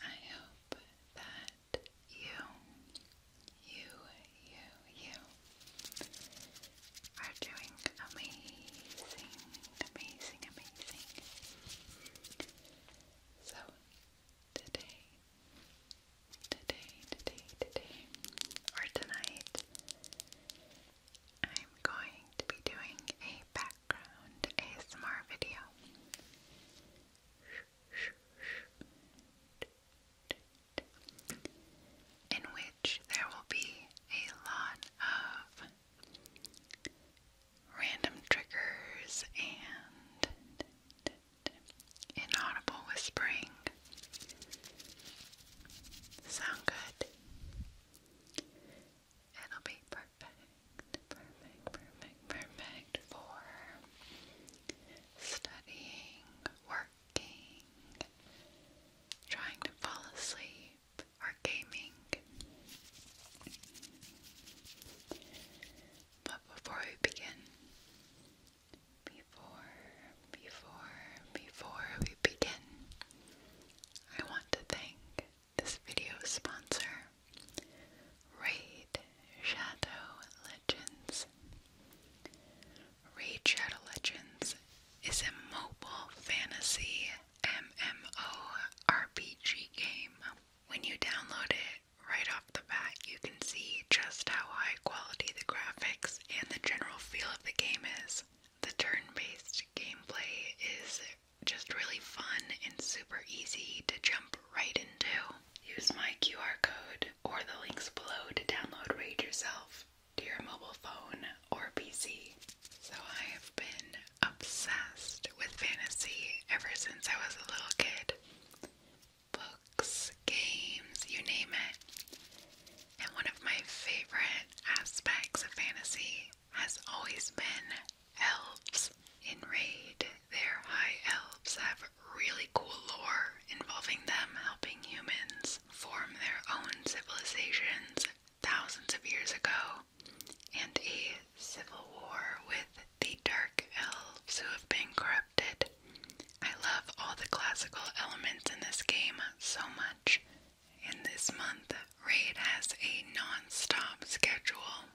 I hope that you, you, you, you are doing amazing, amazing, amazing. So, today Today, today, today, or tonight, I'm going to be doing a background ASMR video. In which there will be a lot of random triggers and inaudible whispering. Sound good? It'll be perfect, perfect, perfect, perfect for studying, working, trying to fall asleep, or gaming. But before we begin, before, before, before we begin, I want to thank this video sponsor, Raid Shadow Legends. Raid Shadow Legends is a mobile fantasy MMORPG game. When you download it right the bat, you can see just how high quality the graphics and the general feel of the game is. The turn based gameplay is just really fun and super easy to jump right into. Use my QR code or the links below to download Raid yourself to your mobile phone or PC. So I have been obsessed with fantasy ever since I was a little kid books, games, you name it. And one of my favorite aspects of fantasy has always been elves. In Raid, their high elves have really cool lore involving them helping humans form their own civilizations thousands of years ago, and a civil war with the dark elves who have been corrupted I love all the classical elements in this game so much. In this month, Raid has a non-stop schedule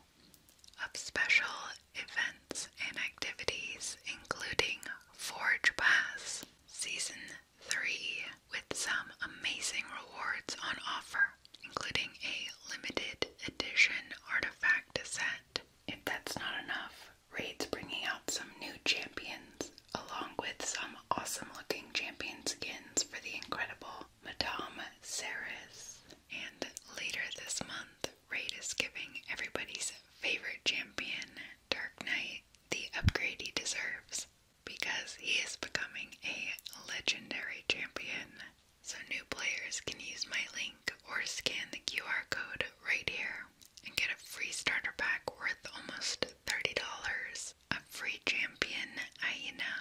of special events and activities, including Forge Pass Season 3, with some amazing rewards on offer, including a limited edition artifact set if that's not enough, Raid's bringing out some new champions, along with some awesome looking champion skins for the incredible Madame Seres. And later this month, Raid is giving everybody's favorite champion, Dark Knight, the upgrade he deserves because he is becoming a legendary champion. So, new players can use my link or scan the QR code right here and get a free starter pack worth almost $30, a free champion Aina,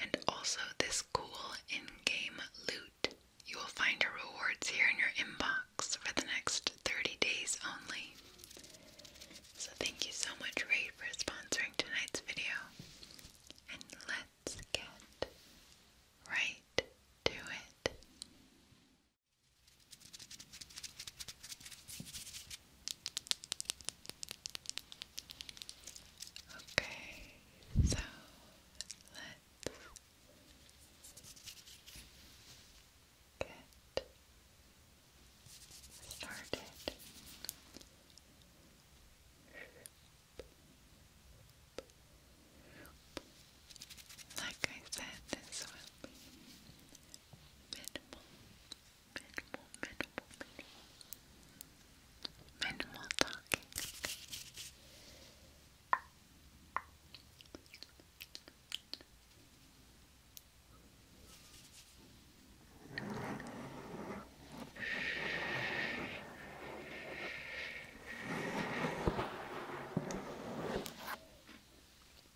and also this cool in-game loot. You will find your rewards here in your inbox for the next 30 days only. So thank you so much, Raid, for sponsoring tonight's video. And let's get right to it. Okay, so let's get started. Shoop, shoop, shoop, like I said, this will be minimal, minimal, minimal, minimal, minimal talking.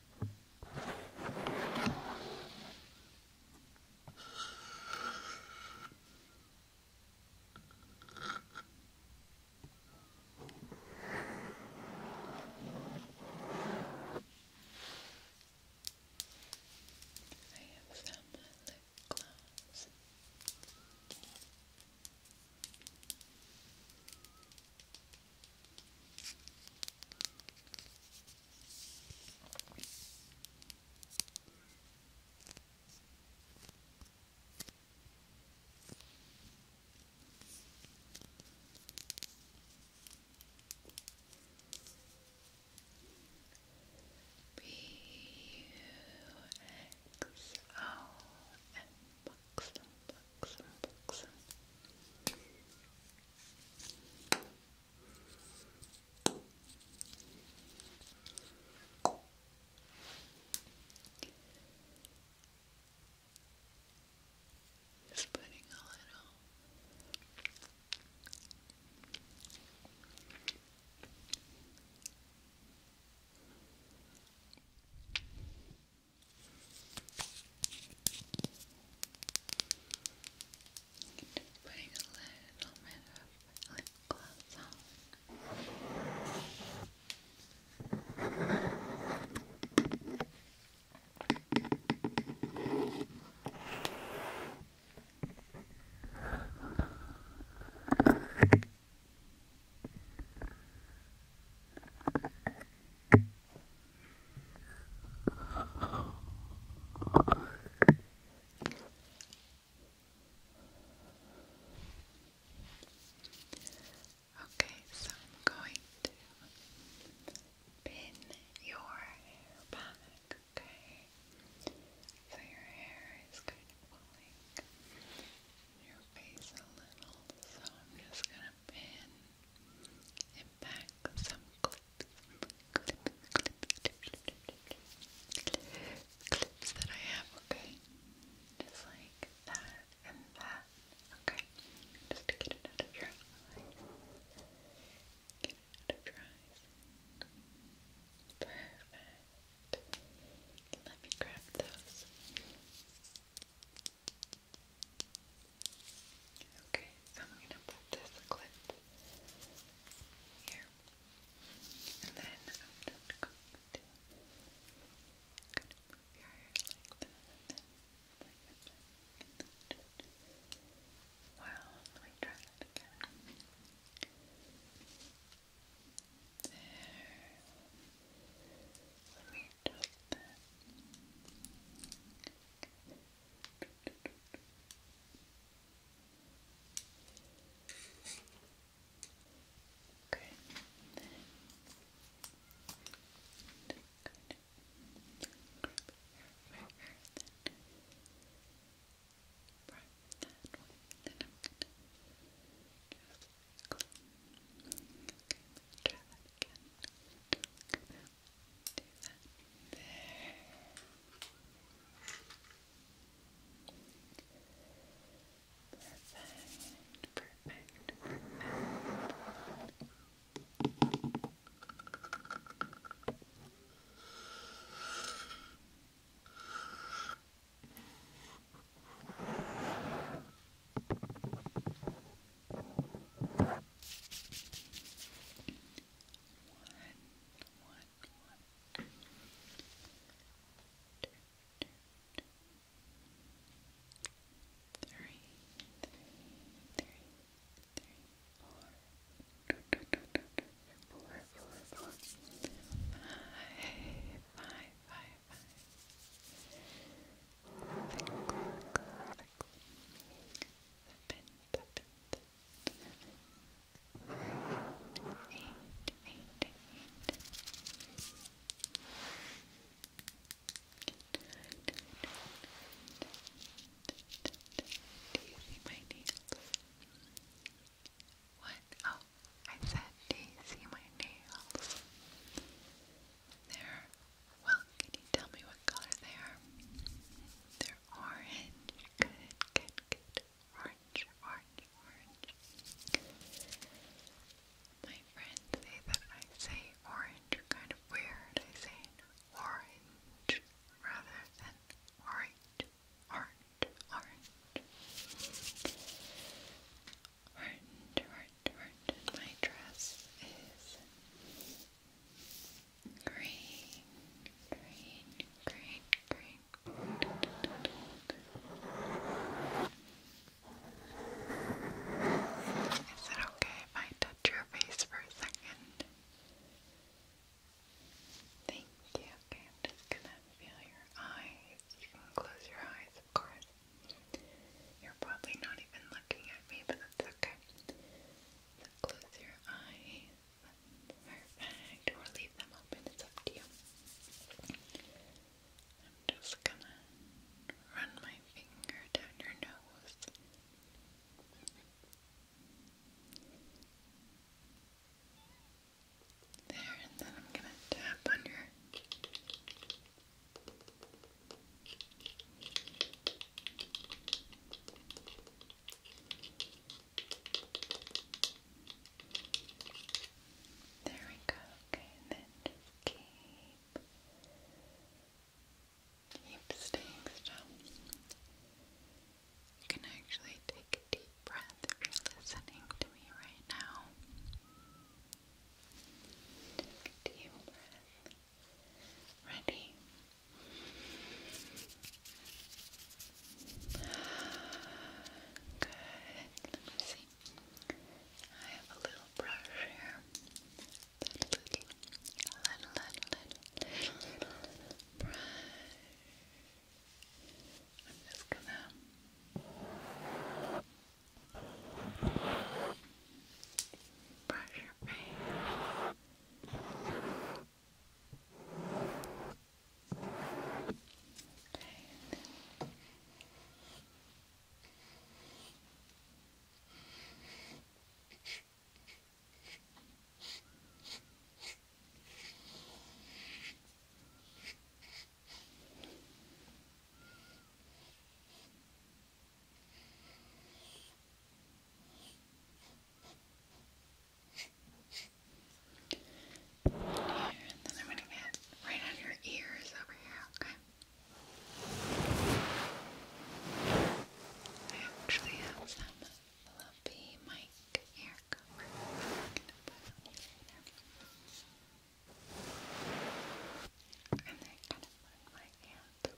I have some lip gloss. B U X O M Y books and Just putting a little just putting a little bit of lip gloss on. Just Okay, so I'm going to pin your hair back, okay? So your hair is kind of pulling your face a little, so I'm just gonna pin in fact, some clips, clips, that I have, okay? Just like that and that, okay? Just to get it out of your eyes. Get it out of your eyes. Perfect. Let me grab those. Okay, I'm gonna put this clip here, and then I'm going to kind of move your hair like that, and then like that, and then just, well, let me try that again. There. Let me adjust that. Okay. Then I'm gonna just clip let's try that again. Do that. There. Perfect, perfect, perfect. Perfect one. Three, three, three, three, four, four, four, four, five, five, five, five, do you see my nails? What? Oh, I said, do you see my nails? they well, can you tell me what color they are? They're orange. Good, good, good. Orange, orange, orange. My friends say that I say orange kind of weird. I say orange rather than orange, orange, orange. Orange, orange, orange. My dress is green, green, green, green. Is it okay if I touch your face for a second? Thank you. Okay, I'm just gonna feel your eyes. You can close your eyes, of course. You're probably not even looking at me, but that's okay close your eyes. Perfect. Or leave them open. It's up to you. I'm just gonna run my finger down your nose. There, and then I'm gonna tap on your there we go. Okay, and then keep keep staying still. You can actually take a deep breath if you're listening to me right now. Take a deep breath. Ready? Good. Let me see. I have a little brush here. Little, little, little, little, little, brush. I'm just gonna brush your brain. Okay. Okay. Here, and then I'm going to get right on your ears over here, okay? I actually have some fluffy mic ear cover. you And then kind of put my hand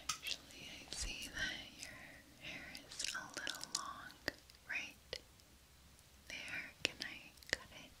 Actually, I see that your hair is a little long right there. Can I cut it?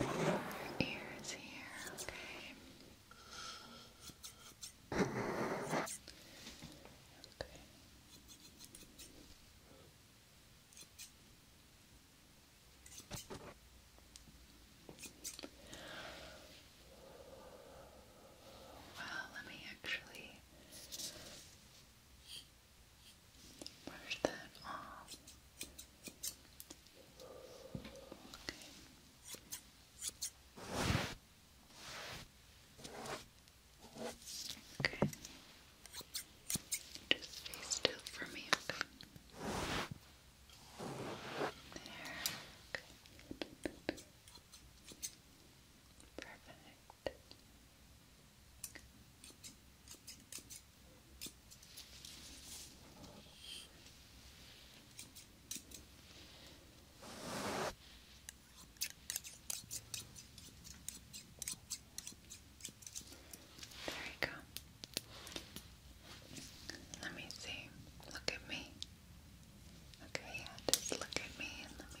your ears here, okay? Okay. Well, let me actually Brush that off. Okay. Just stay still for me, There. Perfect. There you go. Let me see. Look at me. Okay, yeah, just look at me and let me.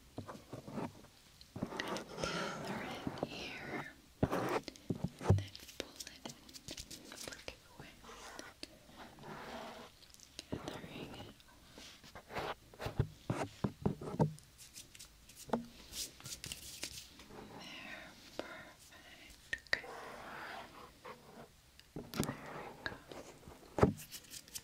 Kind of it here, then pull it and work it away. Gathering it There, perfect. There we go.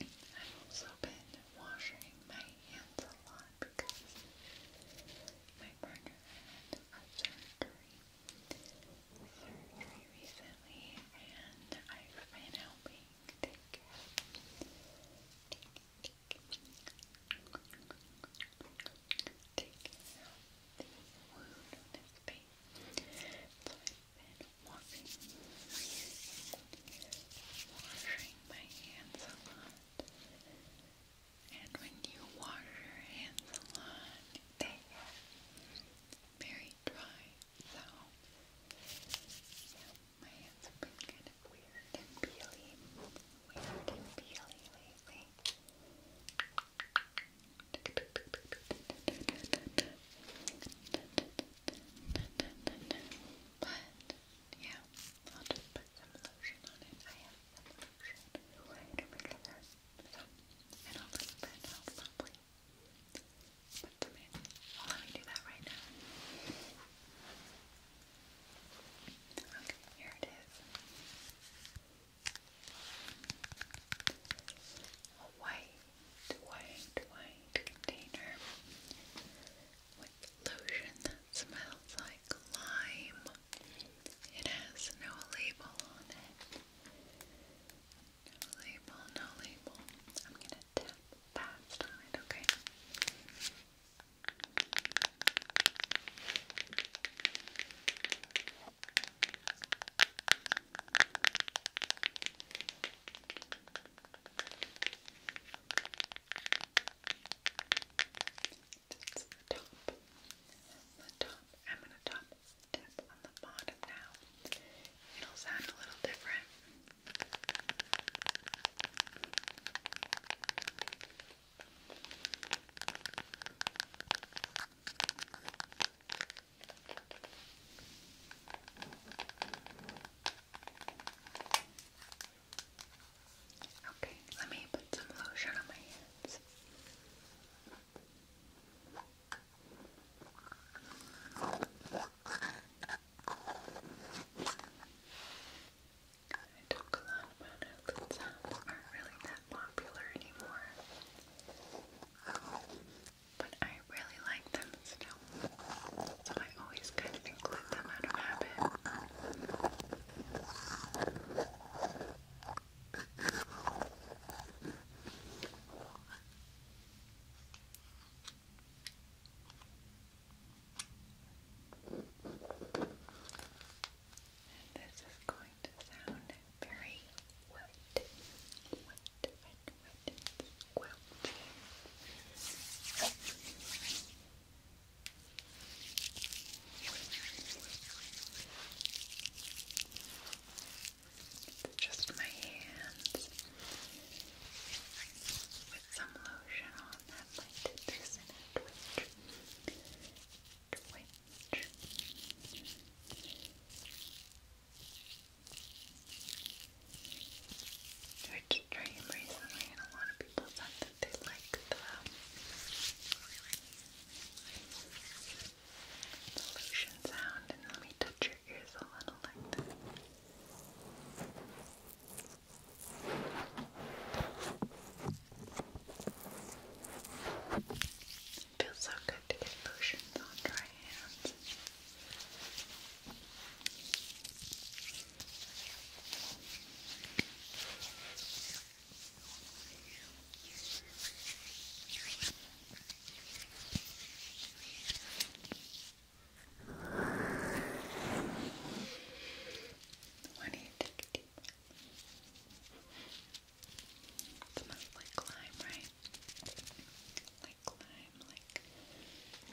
I've also been washing my hands a lot because my partner had surgery, recently and I've been helping take care take, take, take out the wound on his face. So I been washing, washing my hands a lot. And when you wash your hands a lot, they are very dry. So, my hands have been kind of weird and peely, weird and peely lately. But yeah, I'll just put some lotion on it. I have some lotion right over there. So in a little bit I'll probably put some in. Well, let me do that right now. Okay, here it is. A white white, white container with lotion that smells like lime. It has no label on it. No label, no label. I'm gonna tap fast on okay? That's the top. The top. I'm gonna top tap on the bottom now. It'll sound a little different. Okay. Okay, let me put some lotion on my hands. I took a lot of products that aren't really that popular anymore but I really like them so I always kind of include them out of habit. this is going to sound very wet, wet, like mittens, quilting. Just my hands with some lotion on that might do this in a which dream recently, and a lot of people said that they liked The lotion sound, and let me touch your ears a little feels so good to get lotions on dry hands. Why do you take a deep breath? It smells like lime, right? Like lime, like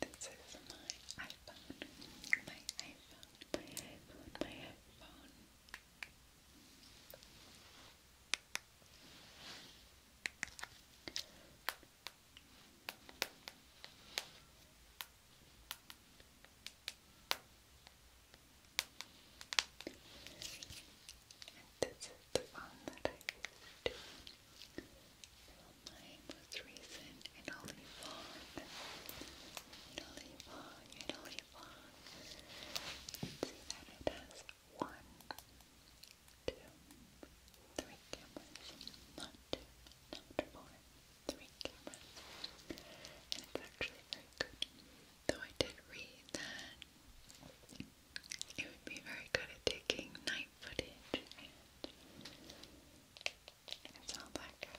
this is my iPhone, my iPhone, my iPhone, my iPhone. This and this is the one that I used my most recent Italy vlog. Italy See that it has one, two, three cameras. Not two, not four, three cameras. And it's actually very good. Though I did read that it would be very good at taking night footage, it's all black out.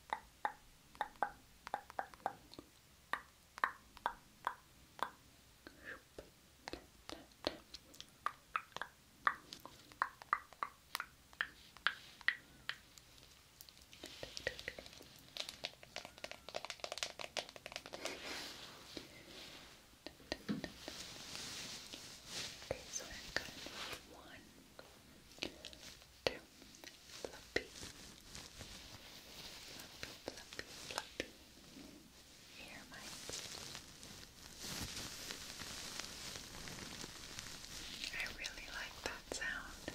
Okay, so I've got one Two. Fluffy. Fluffy, fluffy, fluffy. Here, Mike. I really like that sound.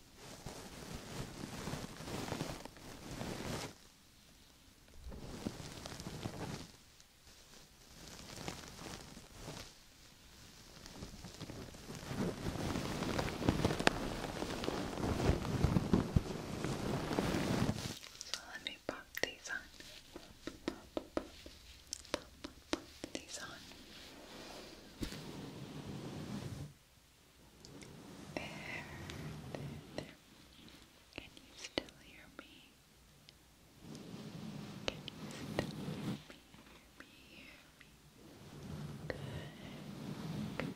So let me pop these on. Pop, pop, pop, pop, pop, pop these on. There, Can you still hear me? Can you still hear me? Hear me, good. Good.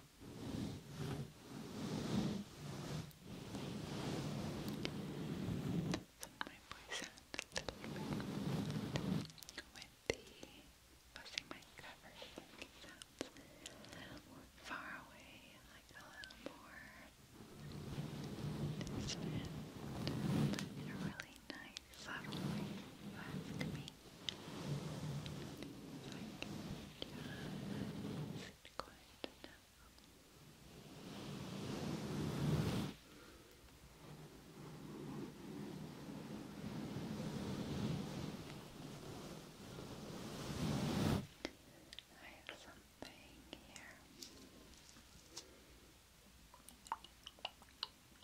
my voice sounds a little bit with the busting my cover like sounds more far away, like a little more distant, in a really nice, lovely, fast just quiet now. I have something here.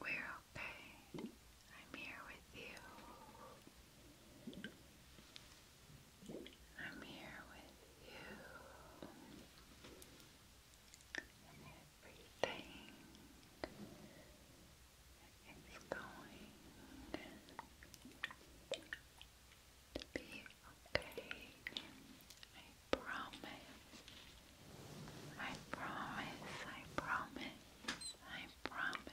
We're okay. I'm here with you. I'm here with you. And everything is going to be okay promise. I promise. I promise. I promise.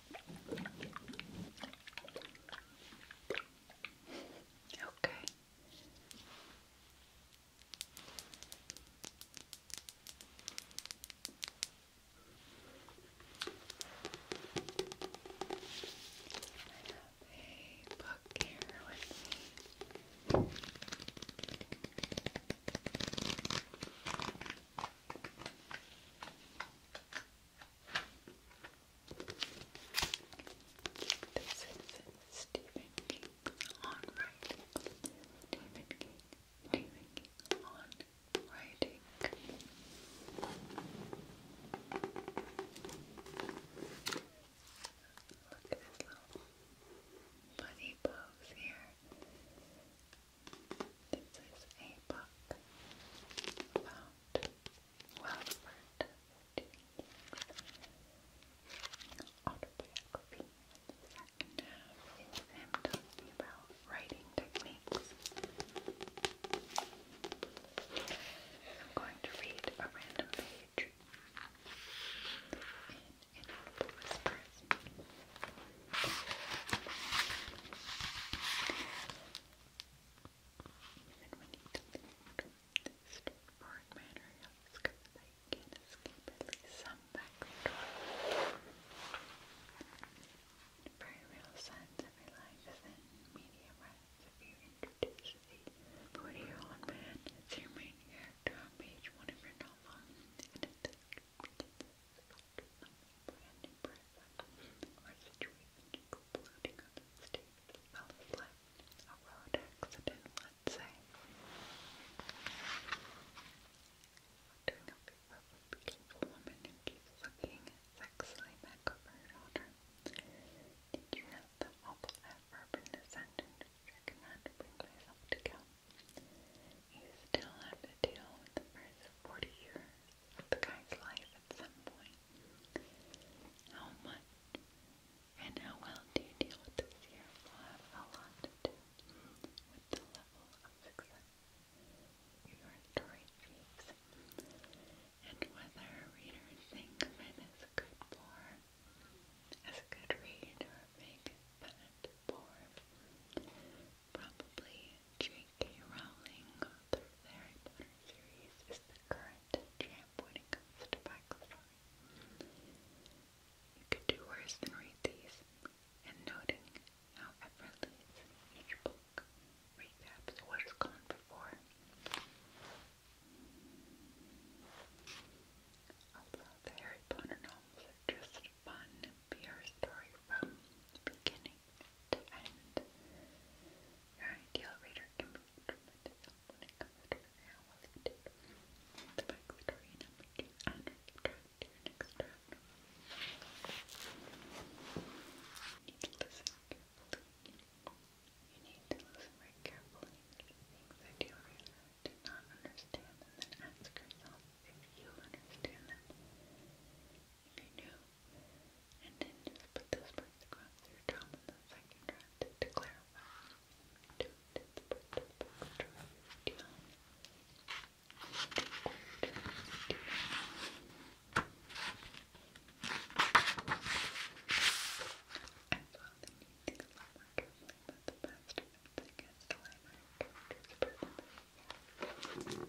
Okay. I have a book here with me. This is Stephen King on writing. Stephen King, Stephen King on writing. Look at this little bunny pose here. This is a book about Wilford Ford's autobiography. The second half is him talking about writing techniques. I'm going to read a random page in Inaudible Whispers. Even when you delete straightforward manner, you'll discover that you at least some backdoor. Very real signs of life is in media rights. If you introduce the 40 year old man as your main character on page one of your novel, and it brand new present exploding on the stage. Well, it's a road accident, let's say. Doing a favor for beautiful woman who keeps looking sexily back over Did you know the awful adverb in the sentence? I cannot bring myself to count. You still have to deal with the first 40 years the guy's life at some point. How much and how well do you deal with this year a lot with the level of success your story achieves and whether readers think of good bore, as a good read, or a bad bore. Probably Jake J.K. Rowling Harry Potter series is the current champ when it comes to backstory. You could do worse than read these, and noting how effortless each book recaps what has gone before. Although the Harry Potter novels are just fun PR story from beginning and your ideal can be tremendous when it comes to how well you The back story and next draft. You need to listen carefully. You need to listen very carefully your reader did not understand and then ask you understand if you and then just put those points across the second round to clarify. Don't put the back across your tongue. I thought that you think a lot more carefully about the past events against the line of characters' personalities.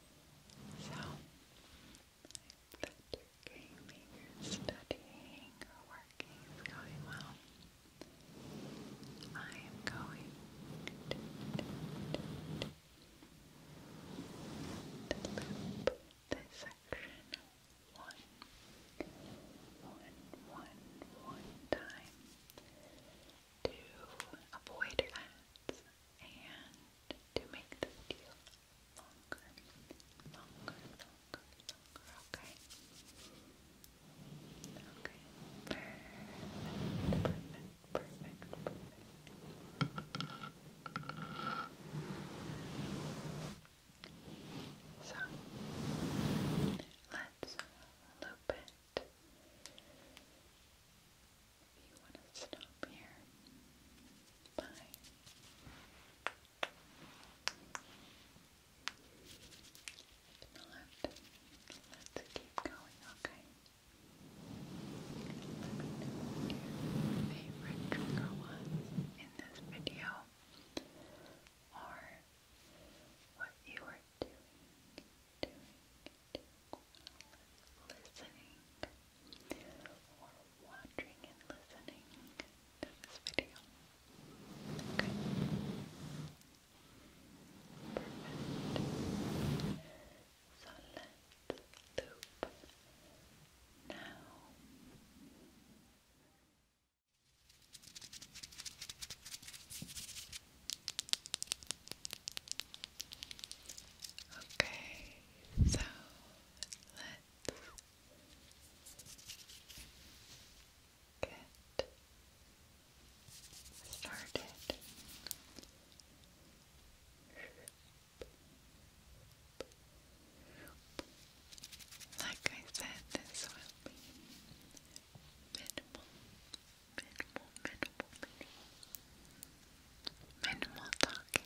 So, that studying, or working is going well. I am going to, loop this section one, one, one, one time to avoid ads and to make the video longer, longer, longer, longer, okay? Okay, perfect, perfect, perfect, perfect. So, let's loop it you want to stop here. Bye. If let's keep going, okay? Let favorite trigger was in this video or what you were doing doing, doing, listening, or watching and listening to this video. Perfect. So let's loop now. Okay, so let's get started. Like I said, this will be minimal, minimal, minimal, minimal minimal talking.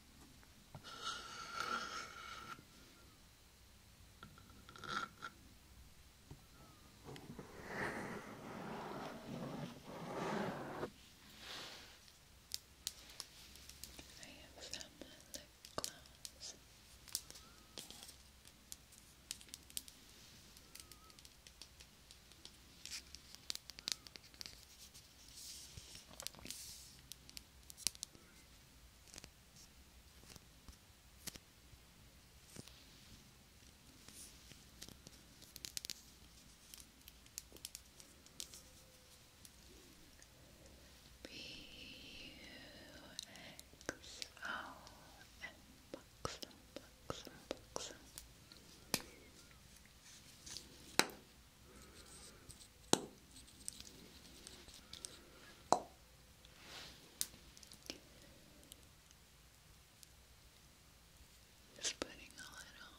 I have some lip gloss. I B U X O and buxom, buxom, buxom. Just putting a little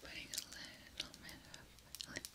Putting a little bit of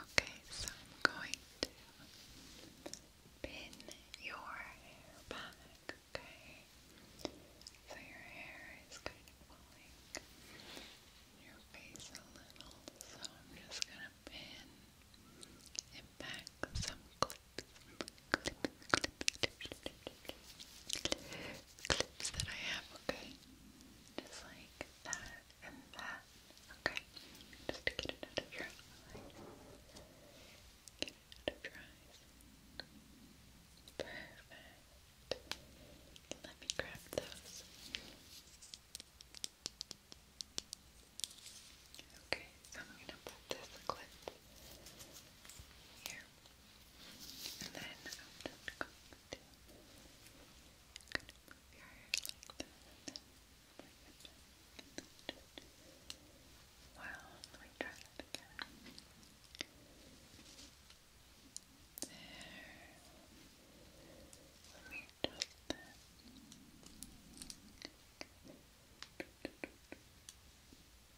Okay, so I'm going to pin your hair back, okay? So your hair is kind of falling your face a little, so I'm just gonna pin it back some clips clips, clips, that I have, okay? Just like that and that, okay? Just to get it out of your eyes. Get it out of your eyes. Perfect. Let me grab those. Okay, so I'm going to put this clip here. And then I'm just going to Wow, let me try that There. Let me adjust that.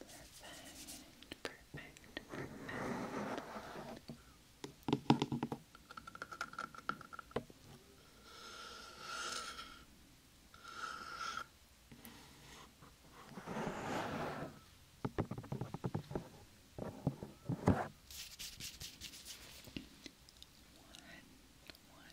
Perfect, perfect, One, one,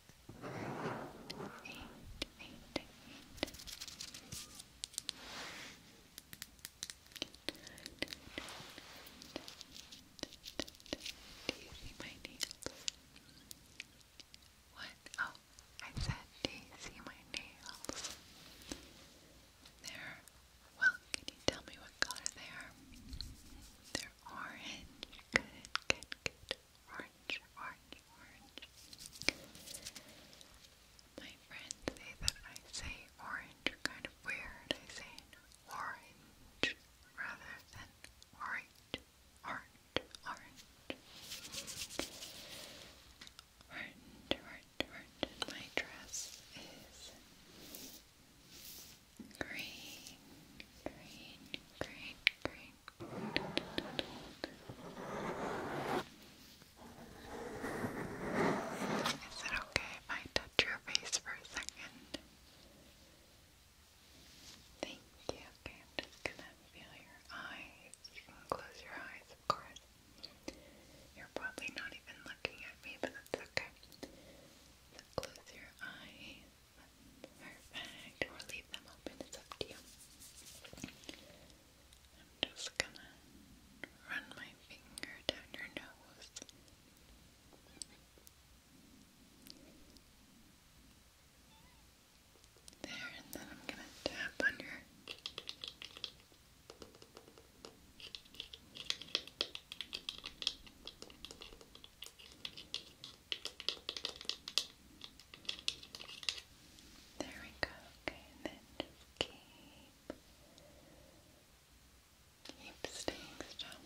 eight, eight, eight. Do you see my nails? What? Oh, I said, do you see my nails? They're, well, can you tell me what color they are? They're orange. Good, good, good orange, orange, orange. My friends say that I say orange kind of weird. I say orange rather than orange, orange, orange. Orange, orange, my dress is green, green, green, green, is it okay if I touch your face for a second? Thank you. Okay, I'm just gonna feel your eyes. You can close your eyes, of course. You're probably not even looking at me, but that's okay. close your eyes. Perfect. we'll leave them open, it's up to you. I'm just gonna run my finger down your nose. There, and then I'm gonna tap on your there we go. Okay, and then keep keep staying still.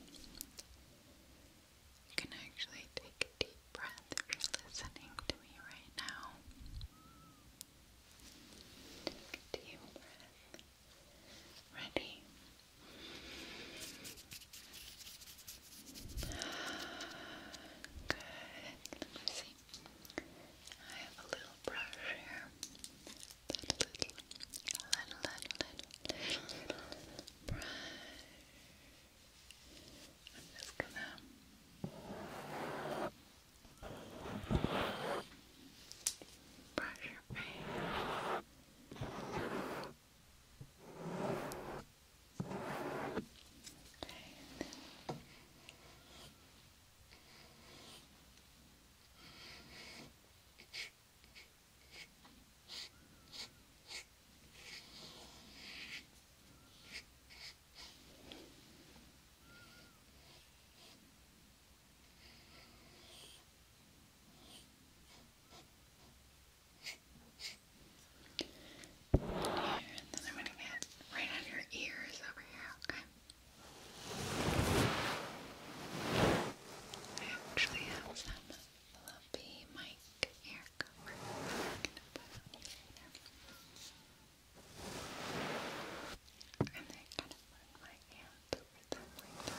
You can actually take a deep breath if you're listening to me right now. Take a deep breath. Ready? Good. Let me see. I have a little brush here. Little, little, little, little, brush. I'm just gonna brush your face. Right. Good. Here, and then I'm gonna get right under your ears over here, okay? I actually have some fluffy mic hair cover. I'm gonna put on you later. And then kind of run my hands over them like that.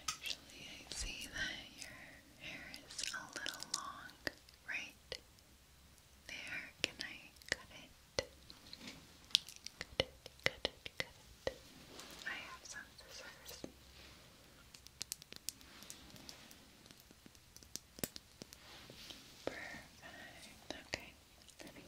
Actually, I see that your hair is a little long, right? There, can I cut it? Cut it, cut it, cut it. I have some scissors. Perfect. Okay. Good Let me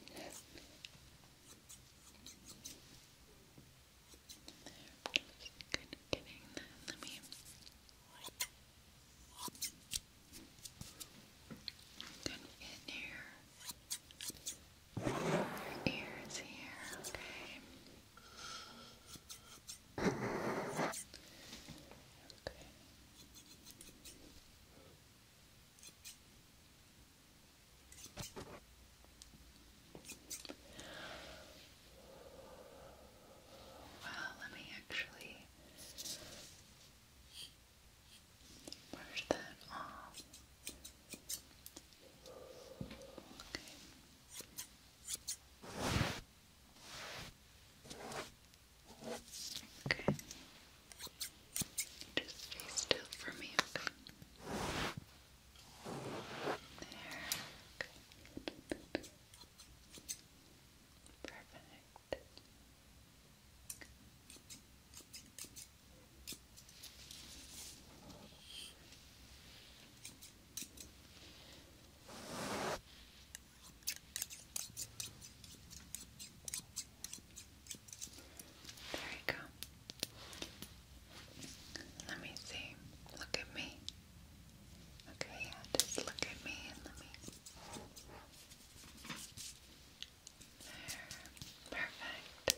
Good in here. Your ears here, okay. Okay. Well, let me actually brush that off. Okay. Okay. Just stay still for me, okay? There. Okay. Perfect. There you go. Let me see. Look at me. Okay, yeah, just look at me let me. There. Perfect.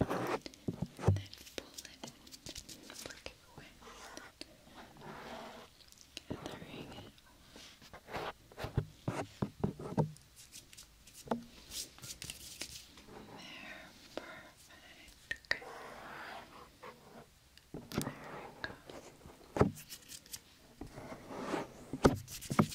and then pull it and flick it away. Gathering it There, perfect. Okay. There we go. Wonderful.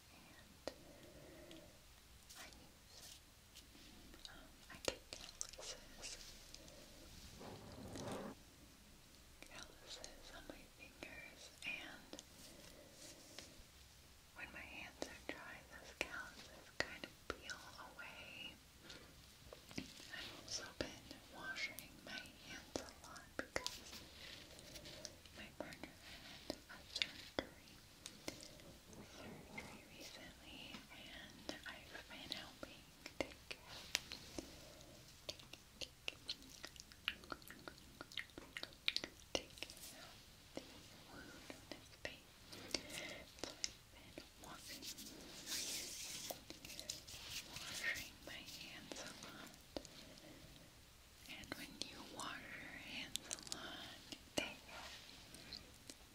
I need I get calluses calluses on my fingers and when my hands are dry those calluses kind of peel away I've also been washing my hands a lot on because my partner had surgery surgery recently and I've been helping take care take, take care the wound on his face so I've been washing washing my hands a lot and when you wash your hands a lot, they are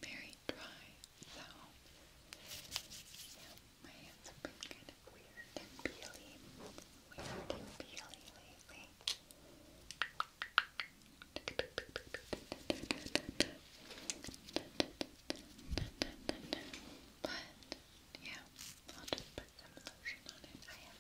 very dry. So, yeah, my hands have been kind of weird and peely. Weird and peely lately. But, yeah, I'll just put some lotion on it. I have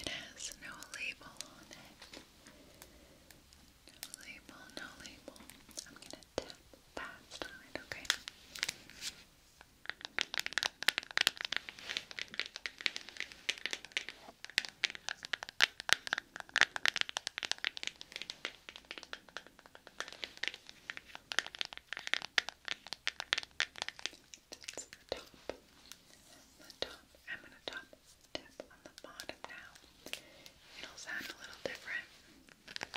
It has no label on it. label, no label. I'm gonna tap fast it, Okay. Just the top. The top. I'm gonna top tip on the bottom now. It'll sound a little different. Okay.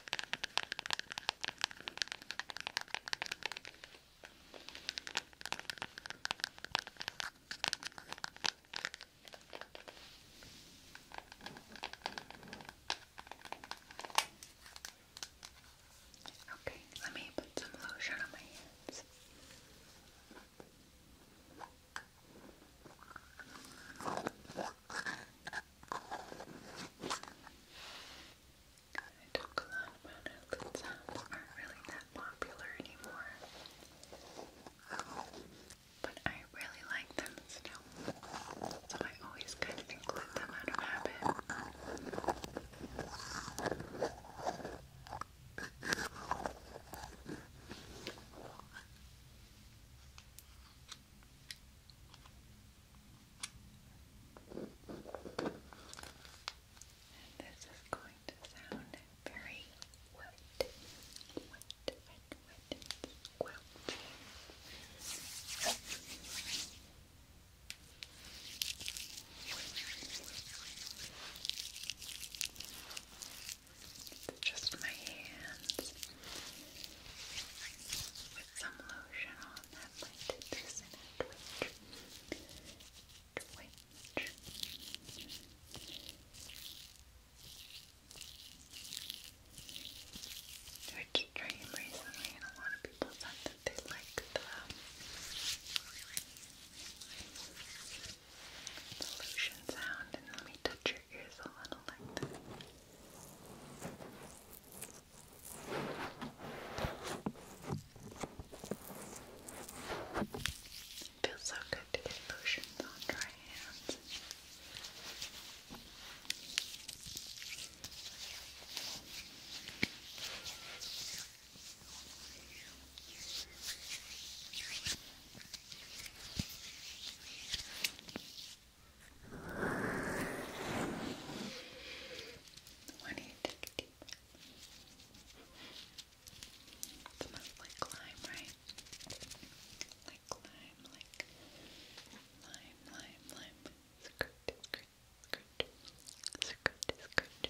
Okay, let me put some lotion on my hands. I took a lot about how good aren't really that popular anymore. But I really like them still. So I always kind of include them out of habit. And this is going to sound very wet, wet, wet, wet, quilty. It's just my hands with some lotion on that might do this in a twitch. Twitch. Twitch recently and a lot of people said that they like the um, the lotion sound and let me touch your ears a little like this. It feels so good to get lotions on dry hands. I need to take a deep breath. Smells like lime, right? Like lime, like lime, lime, lime. Skirt, skirt, skirt, skirt, skirt.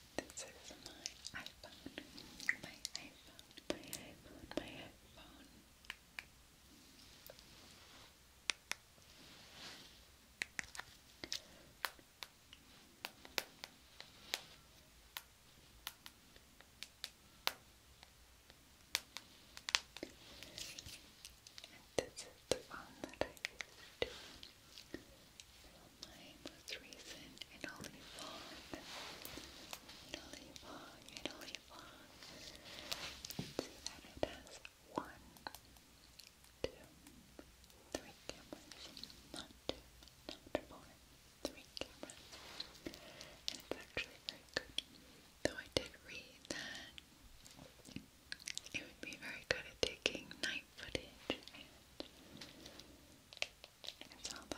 This is my iPhone. My iPhone. My iPhone. My iPhone. And this is the phone that I used my most recent Italy vlog. Italy vlog, Italy vlog. See that it has one, two, three cameras. Not two, not four, three cameras. And it's actually very good. Though I did read that it would be very good at taking night footage and it's all that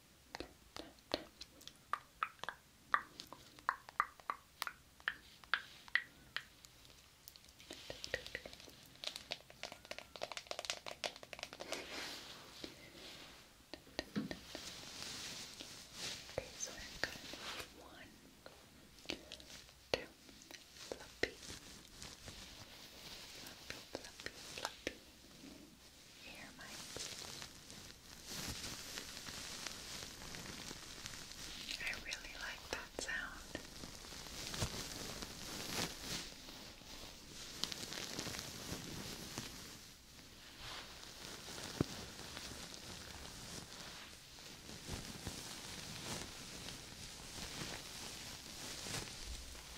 Okay, so I've got one, two, fluffy, fluffy, fluffy, fluffy. Here, Mike. I really like that sound.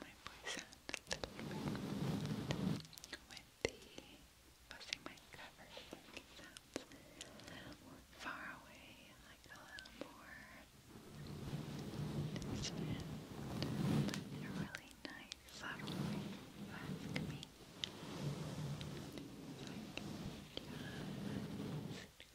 my voice out a little bit with the buzzing my cover sounds far away, like a little more distant, but they're really nice, subtly ask me. It's like,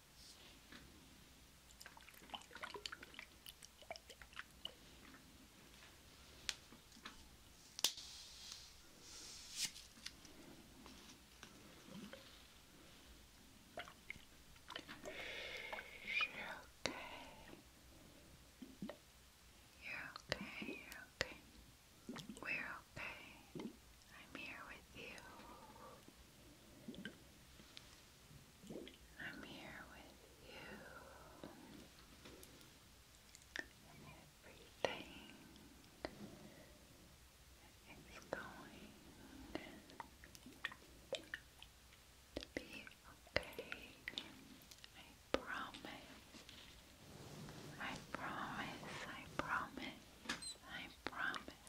You're okay. You're okay. You're okay. We're okay. I'm here with you. I'm here with you, everything is going to be okay. I promise. I promise. I promise. I promise.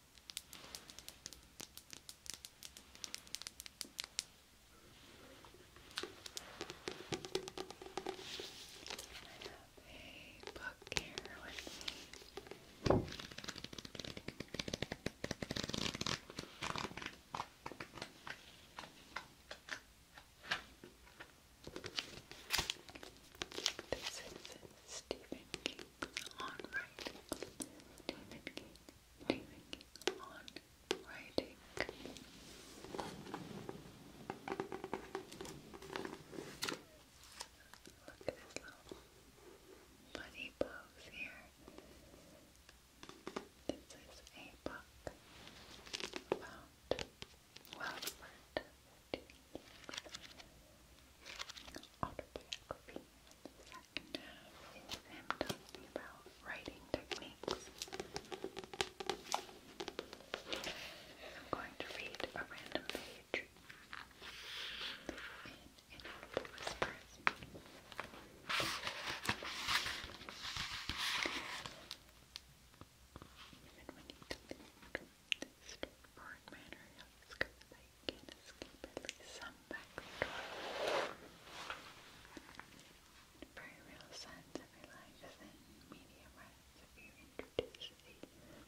a book here with me. This is Stephen King on writing. David King, David King on writing. Look at his little bunny pose here. This is a book about Wellsford autobiography. The second um, talking about writing techniques. I'm going to read a random page in Inaudible Whispers. Even you straightforward manner, yes, because they can't a very real sense, every life is in medium res. If you introduce the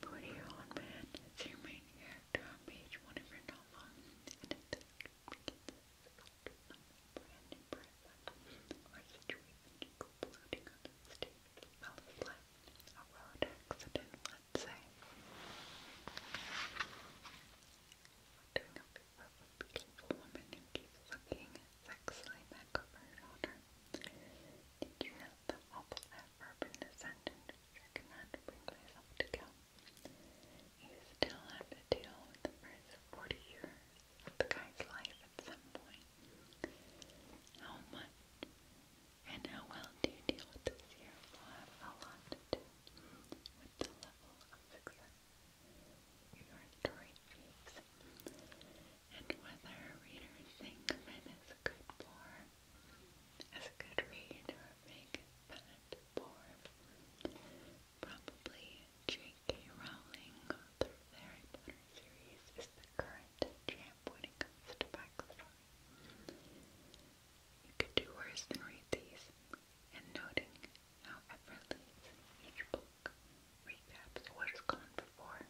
40-year-old man as your main character on page one of your novel, and it begins to brand new person or situation you go floating on the stage, a life, a road accident, let's say. Doing a bit of a beautiful woman who keeps looking sexily back over her shoulder. Did you know the awful adverb in the sentence? I cannot bring myself to go. You still have to deal with the first 40 years of the guy's life at some point. How much and how well do you deal with this year will have a lot to do with the level of success your story achieves, and whether readers think of a good bore, as a good read, or a big bad bore. Probably J.K. Rowling through the Harry Potter series is the current champ when it comes to backstory. You could do worse than read these, and noting how effortless each book recaps what has gone before.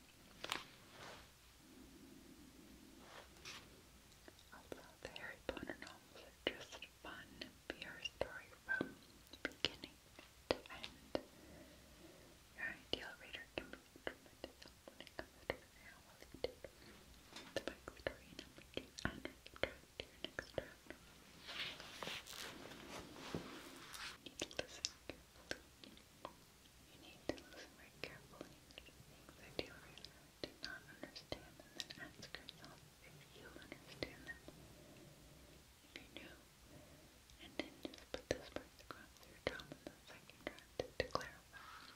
Although the Harry Potter novels just fun VR story from beginning to end, your ideal reader can be tremendous help when it comes to their how You need to listen carefully. You need to listen very carefully things that you really did not understand, and then ask yourself if you understand them. If you do, and then just put those across your tongue in the second round to clarify.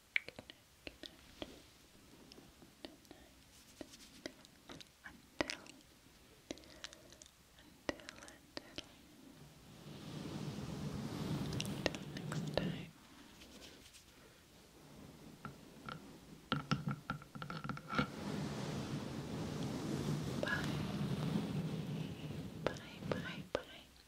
next time. Bye. Bye, bye, bye.